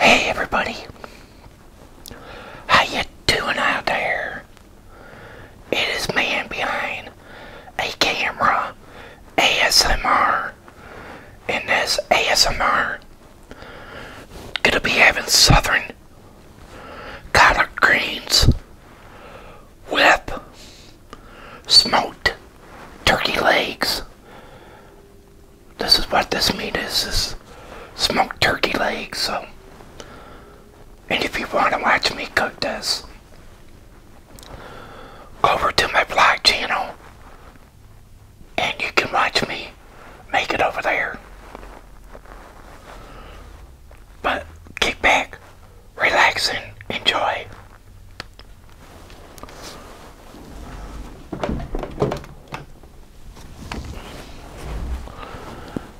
Hey everybody, how you doing out there? It is man behind a camera ASMR, and this ASMR gonna be having southern collard greens with smoked turkey legs this is what this meat is, is smoked turkey legs, so. And if you want to watch me cook this, over to my vlog channel and you can watch me make it over there. But kick back, relax, and enjoy.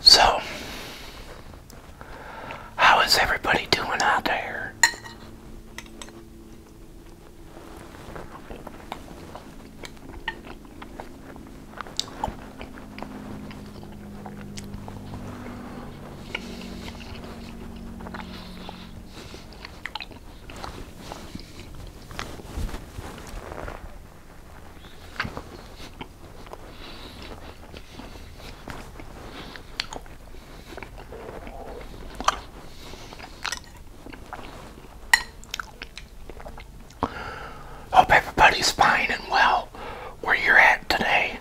So, how is everybody doing out there? Hope everybody's fine and well where you're at today.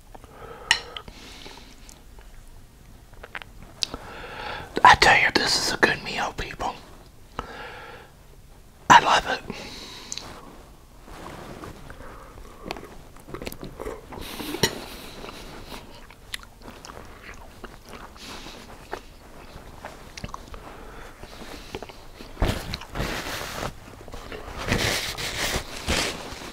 I tell you, this is a good meal, people. I love it.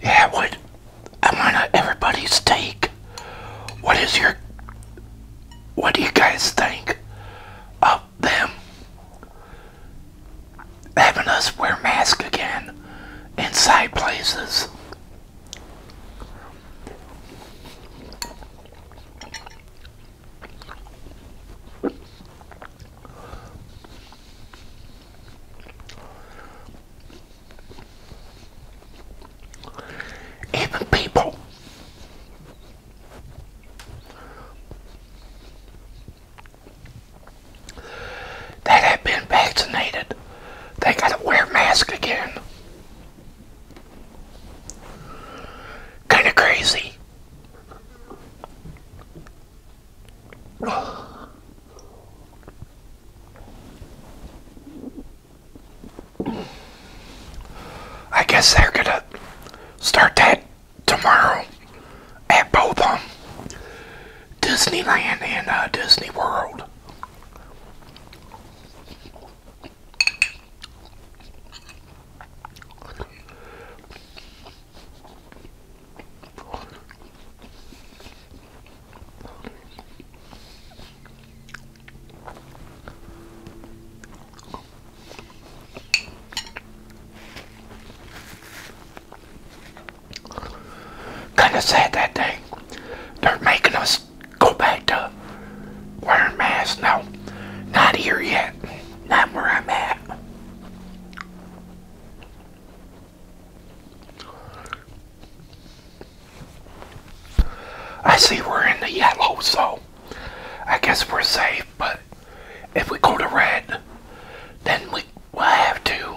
Yeah, what I want everybody's take. What is your what do you guys think of them having us wear masks again? inside places. Even people. They have been vaccinated, they gotta wear masks again. Kinda crazy. I guess they're gonna start that tomorrow at both of them. Disneyland and uh, Disney World. Kind of sad that day. They're making us go back to wearing masks. now. not here yet. Not where I'm at. I see we're in the yellow, so I guess we're safe, but if we go to red, then we will have to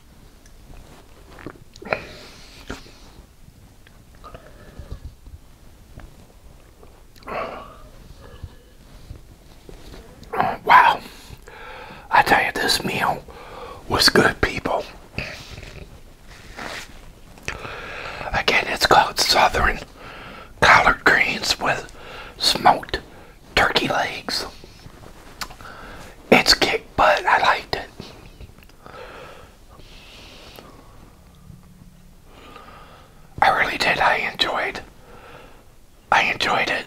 Wow. I tell you, this meal was good, people. Again, it's called Southern Collard Greens with smoked turkey legs. It's kick but I liked it. I really did. I enjoyed. I enjoyed it.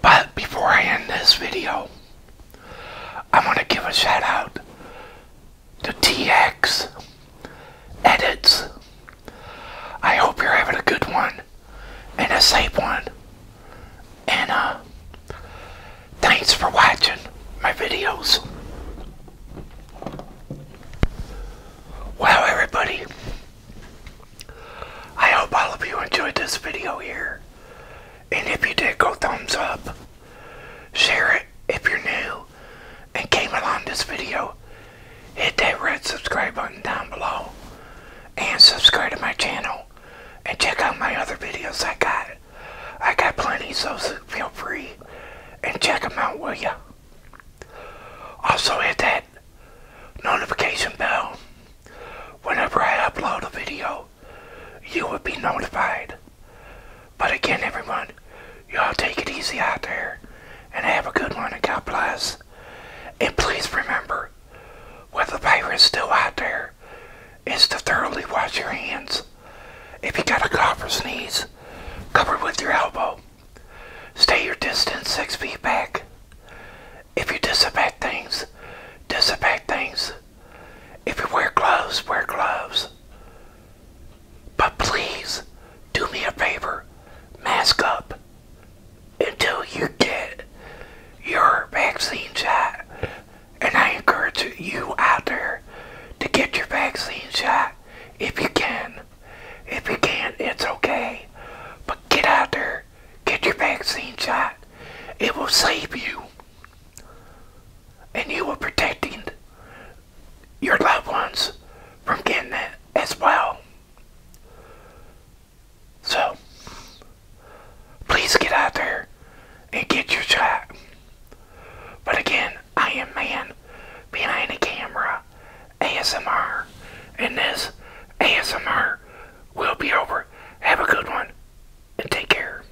But before I end this video, I want to give a shout out the TX edits. I hope you're having a good one and a safe one. And uh, thanks for watching my videos. Wow, everybody. I hope all of you enjoyed this video here. And if you did, go thumbs up. Share it if you're new and came along this video, hit that red subscribe button down below and subscribe to my channel and check out my other videos I got. I got plenty, so feel free and check them out, will ya? Also hit that notification bell. Whenever I upload a video, you will be notified. But again, everyone, y'all take it easy out there and have a good one and God bless. And please remember, while the virus still out there, is to thoroughly wash your hands. If you got a cough or sneeze, cover with your elbow. Stay your distance six feet back. If you disinfect things, disinfect things. If you wear gloves, wear gloves. But please do me a favor, mask up until you get your vaccine shot. And I encourage you out there to get your vaccine shot if you can. If you can't, it's okay. But get out there, get your vaccine shot. It will save you. And you will protect your loved ones from getting it as well. So, please get out there and get your shot. But again, I am man behind the camera, ASMR, and this ASMR will be over. Have a good one, and take care.